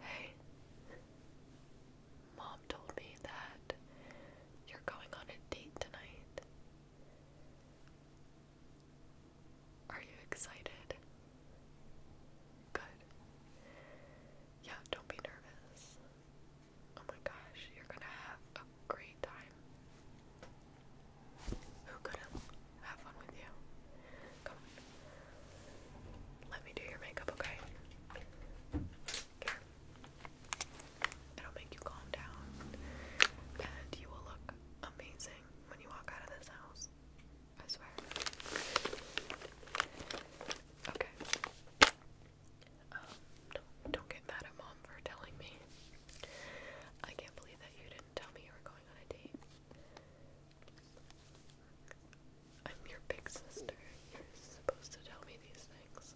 Hey, Mom told me that you're going on a date tonight. Are you excited? Good. Yeah, don't be nervous. Oh my gosh, you're gonna have a great time. Who could have have fun with you. Come on. Let me do your makeup, okay? It'll make you calm down. And you will look amazing when you walk out of this house. I swear. Okay. Um, don't get mad at mom for telling me. I can't believe that you didn't tell me you were going on a date. I'm your big sister. You're supposed to tell me these things.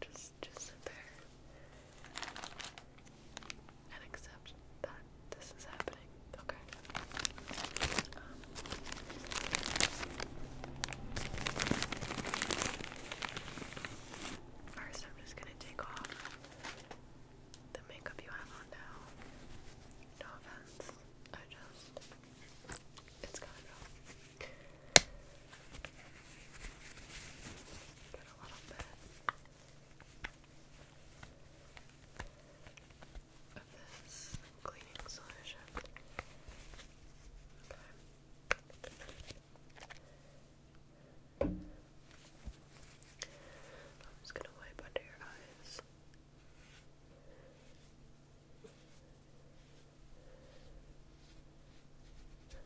Just just sit there and accept that this is happening. Okay. First, I'm just gonna take off the makeup you have on now. No offense, I just. It's kind of. a little bit of this cleaning solution. Okay. I'm just gonna wipe under your eyes. i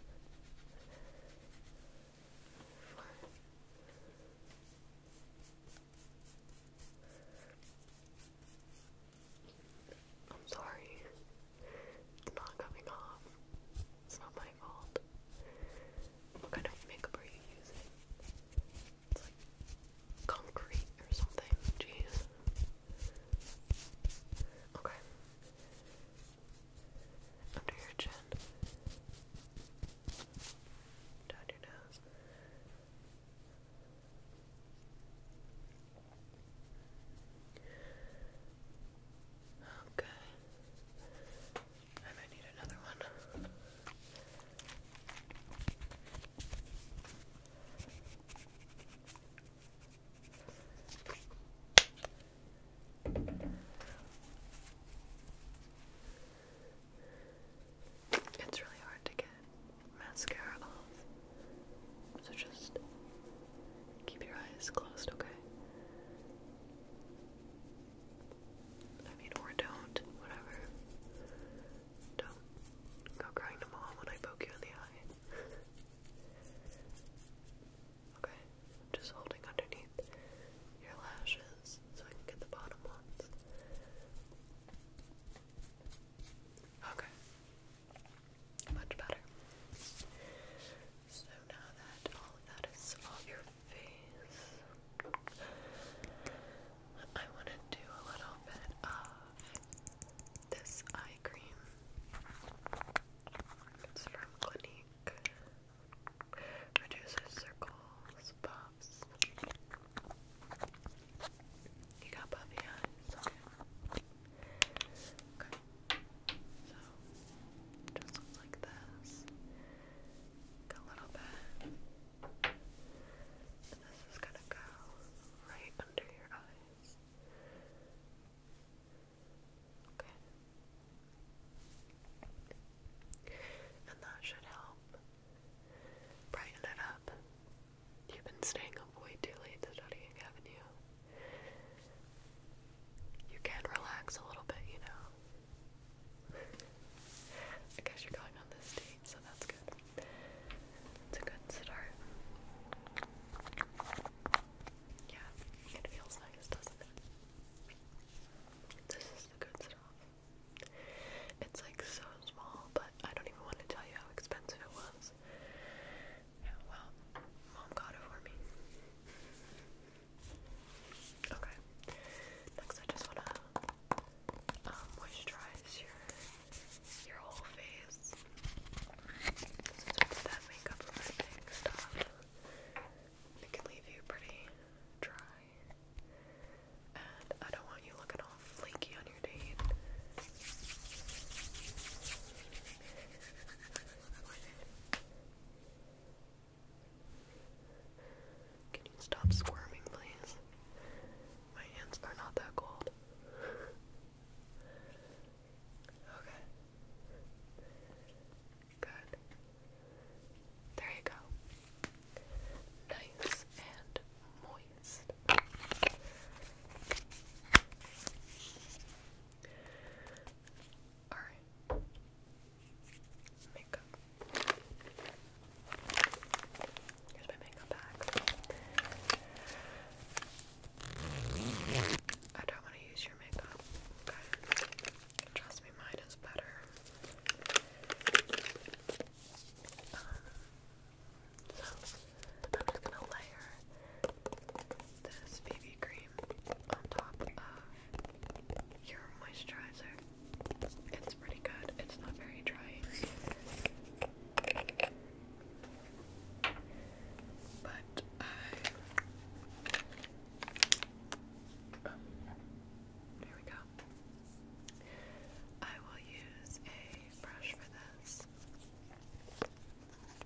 I'm sorry, it's not coming off. It's not my fault. What kind of makeup are you using? It's like concrete or something. Jeez. Okay. Under your chin. Down your nose. Okay. It's really hard to get mascara off, so just keep your eyes closed, okay? I mean, or don't, whatever. Don't go crying to mom when I poke you in the eye. okay, am just holding underneath your lashes so I can get the bottom ones. Okay. Much better. So now that all of that is off your face, I want to do a little bit of this eye cream. It's from Clinique. Reduces circles, puffs. You got puffy eyes, okay. So just like this. a little bit. this is gonna go right under your eyes. Okay. And that should help brighten it up. You've been staying up way too late studying, haven't you? you can relax a little bit, you know. I guess you're going on this date, so that's good. It's a good start. Yeah, it feels nice, doesn't it? This is the good stuff. It's like so small, but I don't even want to tell you how expensive it was. Yeah, well, mom got it for me. Okay. Next, I just wanna um, moisturize your your whole face. that makeup removing stuff, can leave you pretty dry. And I don't want you looking all flaky on your date. Can you stop squirming, please? My hands are not that cold. okay. Good. There you go. Nice and moist. Alright. Makeup. Here's my makeup bag. I don't want to use your makeup. Okay. Trust me, mine is better. Um, so I'm just gonna layer this BB cream on top of your moisturizer. It's pretty good. It's not very drying. But I oh, we go. I will use a brush for this.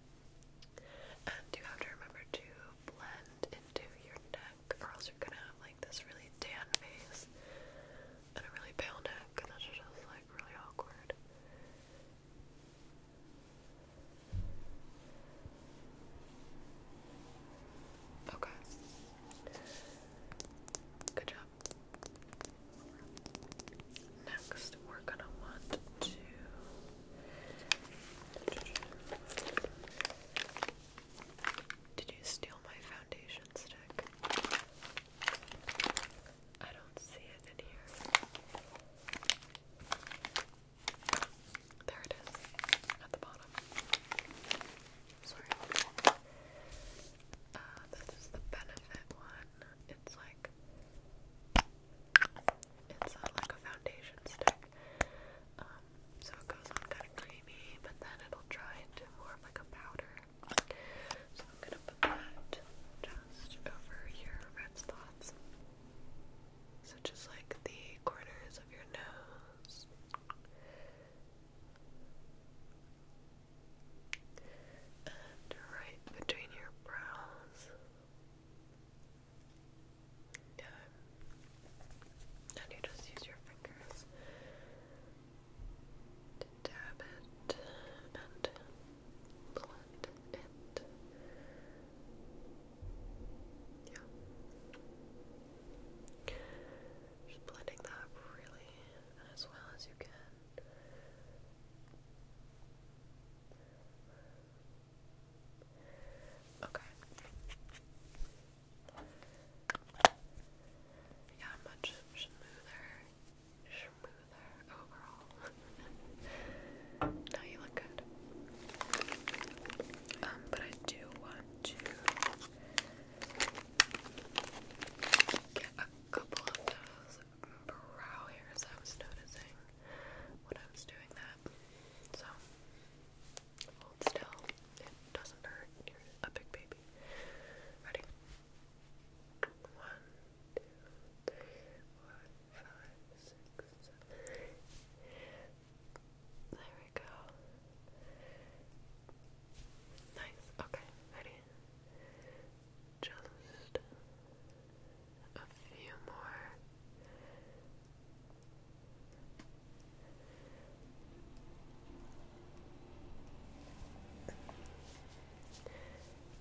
And um, you have to remember to blend into your neck, or else you're gonna have like this really tan face and a really pale neck, and that's just like really awkward. Okay. Good job. Next, we're gonna want to did you steal my foundation stick? I don't see it in here. There it is, at the bottom. Sorry. Uh, this is the benefit one. It's like it's uh, like a foundation stick. Um, so it goes on kind of creamy, but then it'll dry into more like a powder. So I'm gonna put that just over your red spots. So just like the corners of your nose. And right between your brows time. And you just use your fingers to dab it and blend it. Yeah. Just blending that really as well as you can. Okay. Yeah, much smoother, smoother overall. no, you look good. Um, but I do want to get a couple of those brow hairs I was noticing when I was doing that. So, hold still. It doesn't hurt. You're a big baby. Ready? One, two, three, four, five, six, seven. There we go. Nice. Okay, ready? Just a few more.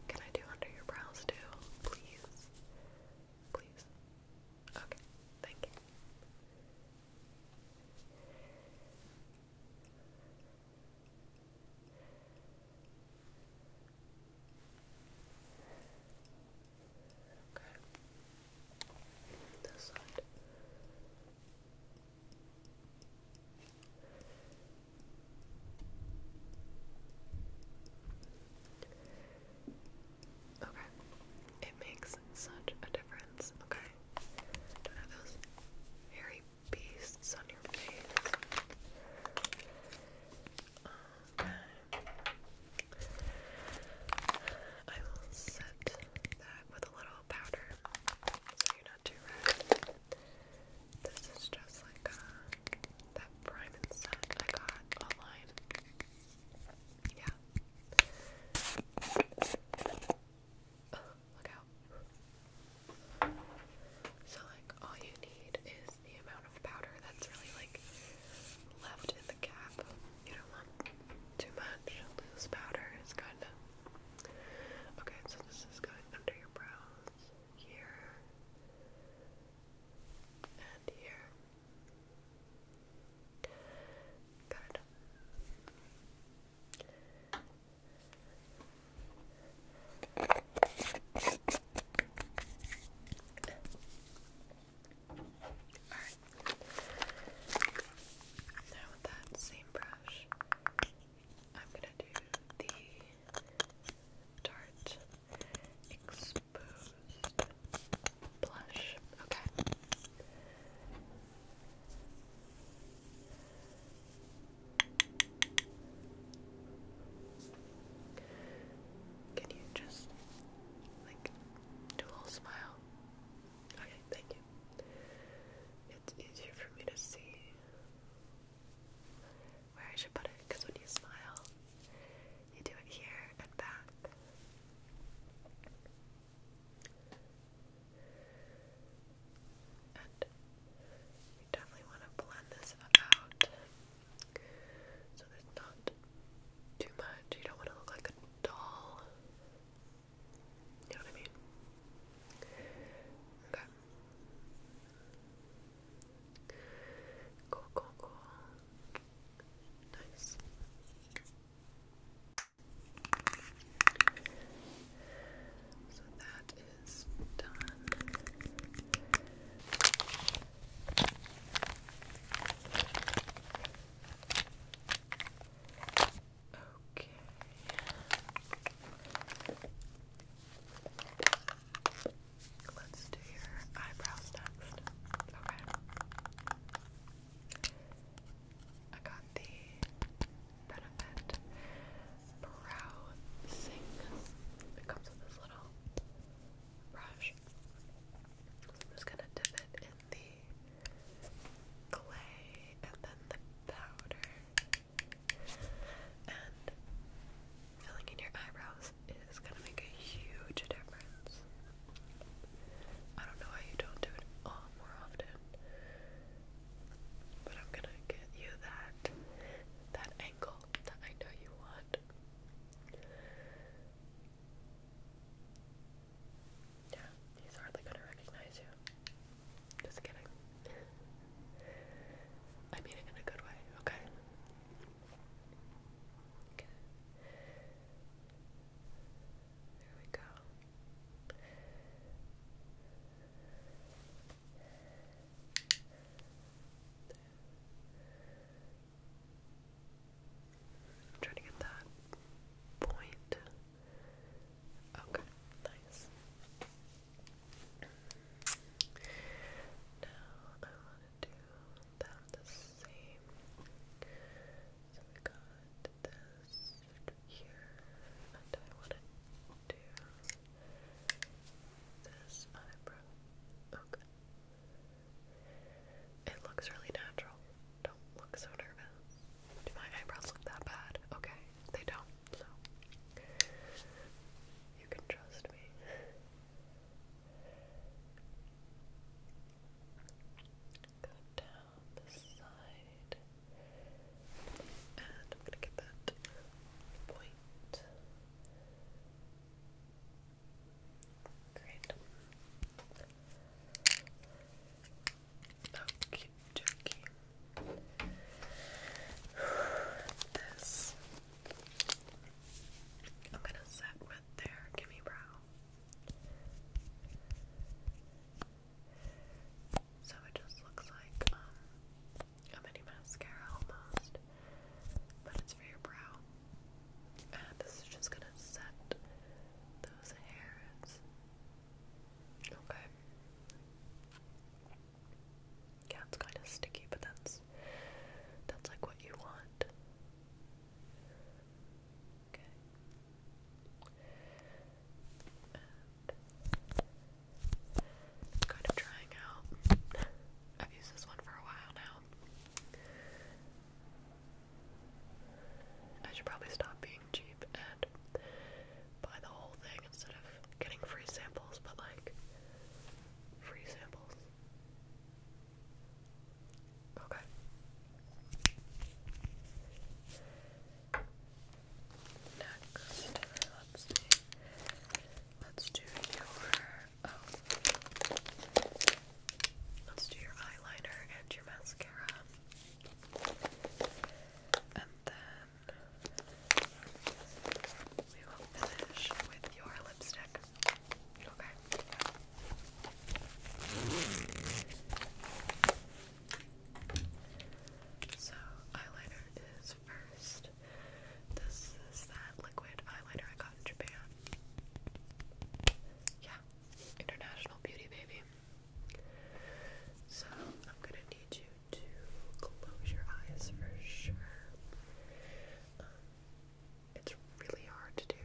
Can I do under your brows too? Please. Please. Okay, thank you. Okay. This side. Okay. It makes such a difference. Okay. Don't have those hairy beasts on your face. Um, I will set that with a little powder you're not too red. This is just like uh, that prime and set I got online. Yeah. look out. So like all you need is the amount of powder that's really like left in the cap. You don't want too much. Loose powder It's kind of okay. So this is going under your brows here and here. Good. Now with that same brush, I'm gonna do the Tarte Exposed Blush. Okay. Can you just like do a little smile? Okay, thank you. It's easier for me to see where I should put it because when you smile, you do it here and back. And you definitely want to blend this out so there's not too much. You don't want to look like a doll. You know what I mean? Okay. Cool, cool, cool. Nice. So that is done. Okay. Let's do your eyebrows next. Okay. I got the Benefit Brow Sink. It comes with this little brush. just gonna dip it in the clay and then the powder. And filling in your eyebrows is gonna make a huge difference. I don't know how you don't do it more often, but I'm gonna get you that that angle. I know you want. Yeah, he's hardly gonna recognize you. Just kidding. I mean it in a good way, okay? There we go. I'm trying to get that point. Okay, nice. Now I want to do them the same. So we got this here, and I want to do this eyebrow. Okay. It looks really natural. Don't look so nervous. Do my eyebrows look that bad? Okay, they don't, so you can trust me. Go down the side, and I'm gonna get that point. Okay. Okay, This I'm gonna set with their gimme brow. So it just looks like um, a mini mascara almost, but it's for your brow. And this is just gonna set those hairs. Okay. Yeah, it's kind of sticky, but that's that's like what you want. Okay. And kind of trying out. I've used this one for a while now. I should probably stop being cheap and buy the whole thing instead of getting free samples, but like free samples. Okay. Next, let's Let's do your oh. Let's do your eyeliner and your mascara. And then we will finish with your lipstick. Okay. So eyeliner is first. This is that liquid eyeliner I got in Japan. Yeah, international beauty, baby. So I'm gonna need you to close your eyes for sure. Um, it's really hard to do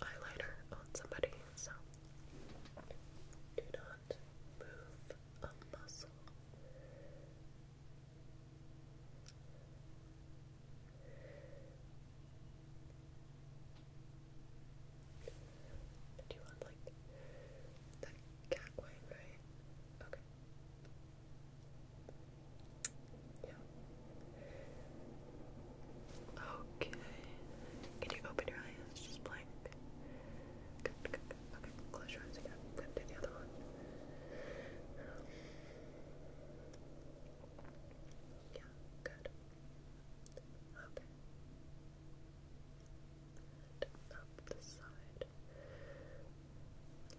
eyeliner on somebody, so do not move a muscle this. Do you want like that cat wine, right? Okay. Yeah. Okay. Can you open your eyes? Just blank. Good, good, good. Okay, close your eyes again. Then do the other one. Yeah, good. Okay. up the side.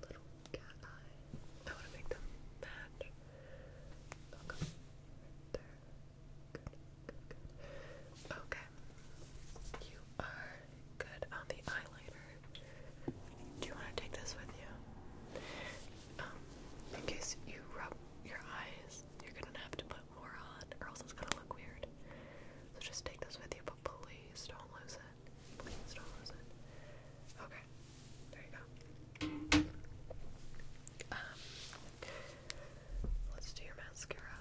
Little cat eye. I want to make them match. Okay. there. Good, good, good. Okay. You are good on the eyeliner. Do you want to take this with you? Um, in case you rub your eyes, you're gonna have to put more on, or else it's gonna look weird. So just take this with you, but please don't lose it. Please don't lose it. Okay, there you go. Um, let's do your mascara.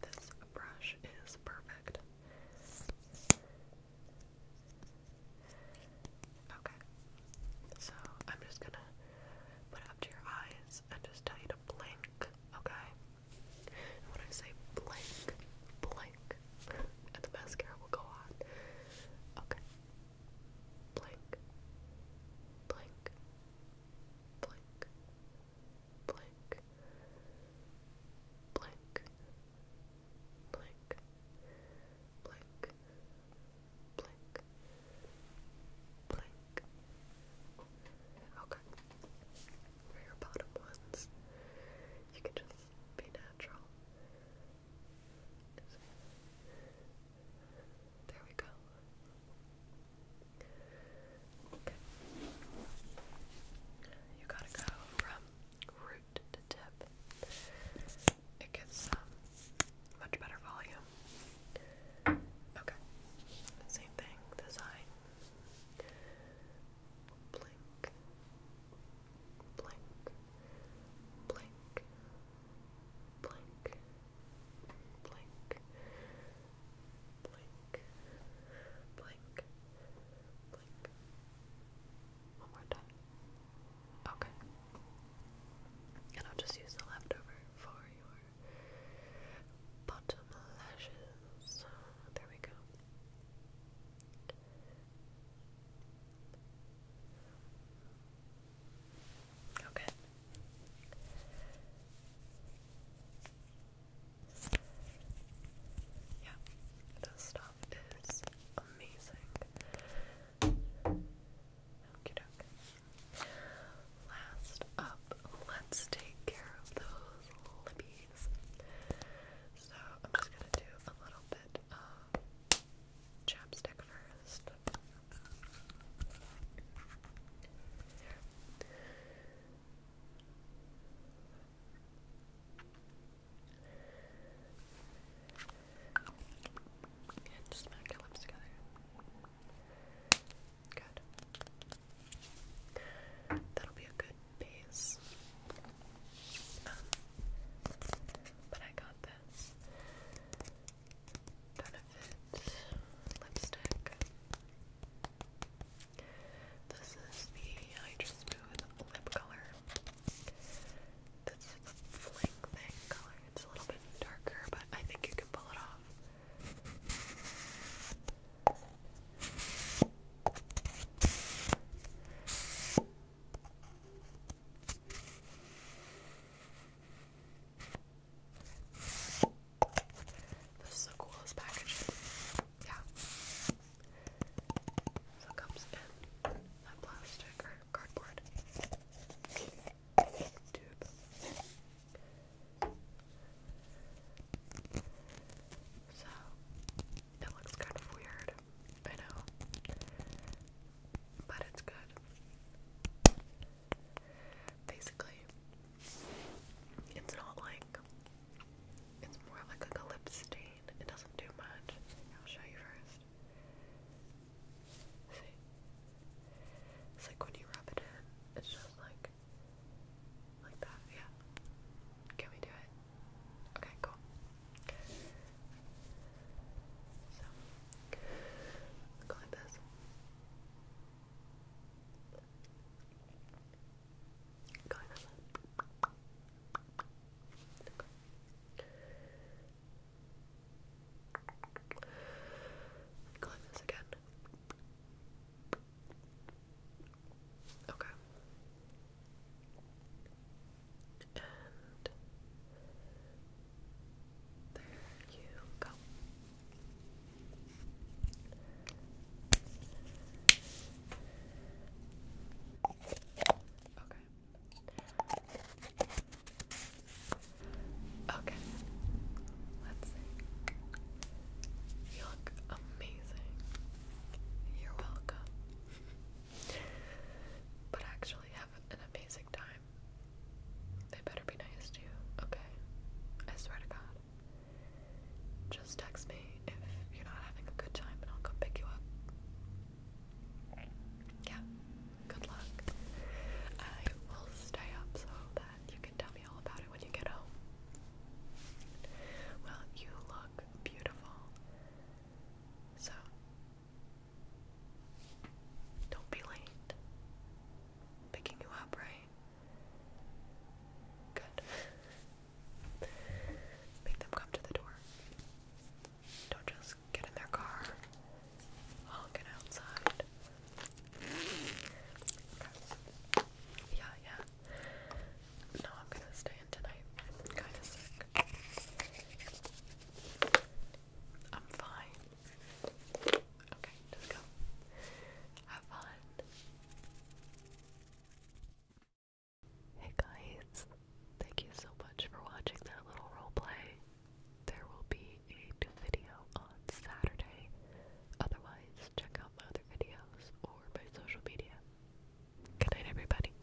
This brush is perfect. Okay, so I'm just gonna put it up to your eyes and just tell you to blink, okay? when I say blink, blink, and the mascara will go on. Okay. Blink, blink, blink, blink, blink, blink, blink, blink, blink. Okay. For bottom ones, you can just be natural. There we go. Okay. You gotta go from root to tip. It gives um, much better volume. Okay. Same thing, this eye. Blink. Blink. Blink blink, blink, blink, blink, blink. One more time. Okay. And I'll just use the leftover for your bottom lashes. There we go. Okay. Yeah, this stuff is amazing. Last up, let's take care of those lippies. So I'm just gonna do a little bit chapstick first. There. just smack your lips together. Good. That'll be a good base. Um, but I got this. Benefit lipstick. This is the Hydra lip color. This is fling thing color. It's a little bit darker, but I think you can pull it off. This is the coolest package. Yeah. So it comes in that plastic or cardboard tube. So it looks kind of weird, I know, but it's good. Basically, it's not like it's more like a lip stain. It doesn't do much. I'll show you first. See, it's like when you rub it in, it's just like like that. Yeah. Can we do it? Okay, cool. So, go like this. Go like this. Go like this again. Okay. And there you go. Okay. Okay. Let's see. You look amazing. You're welcome. but actually have an amazing time they better be nice to you, okay? I swear to God. Just text me if you're not having a good time and I'll come pick you up. Yeah, good luck. I will stay up so that you can tell me all about it when you get home. Well, you look beautiful. So, don't be late. Picking you up, right? Good. Make them come to the door. Don't just get in their car. I'll get outside. Yeah, yeah. No, I'm gonna stay in tonight. kinda sick. I'm fine. Okay, just go. Have fun. Hey guys, thank you so much for watching that little roleplay. There will be a new video on Saturday. Otherwise, check out my other videos or my social media. Good everybody.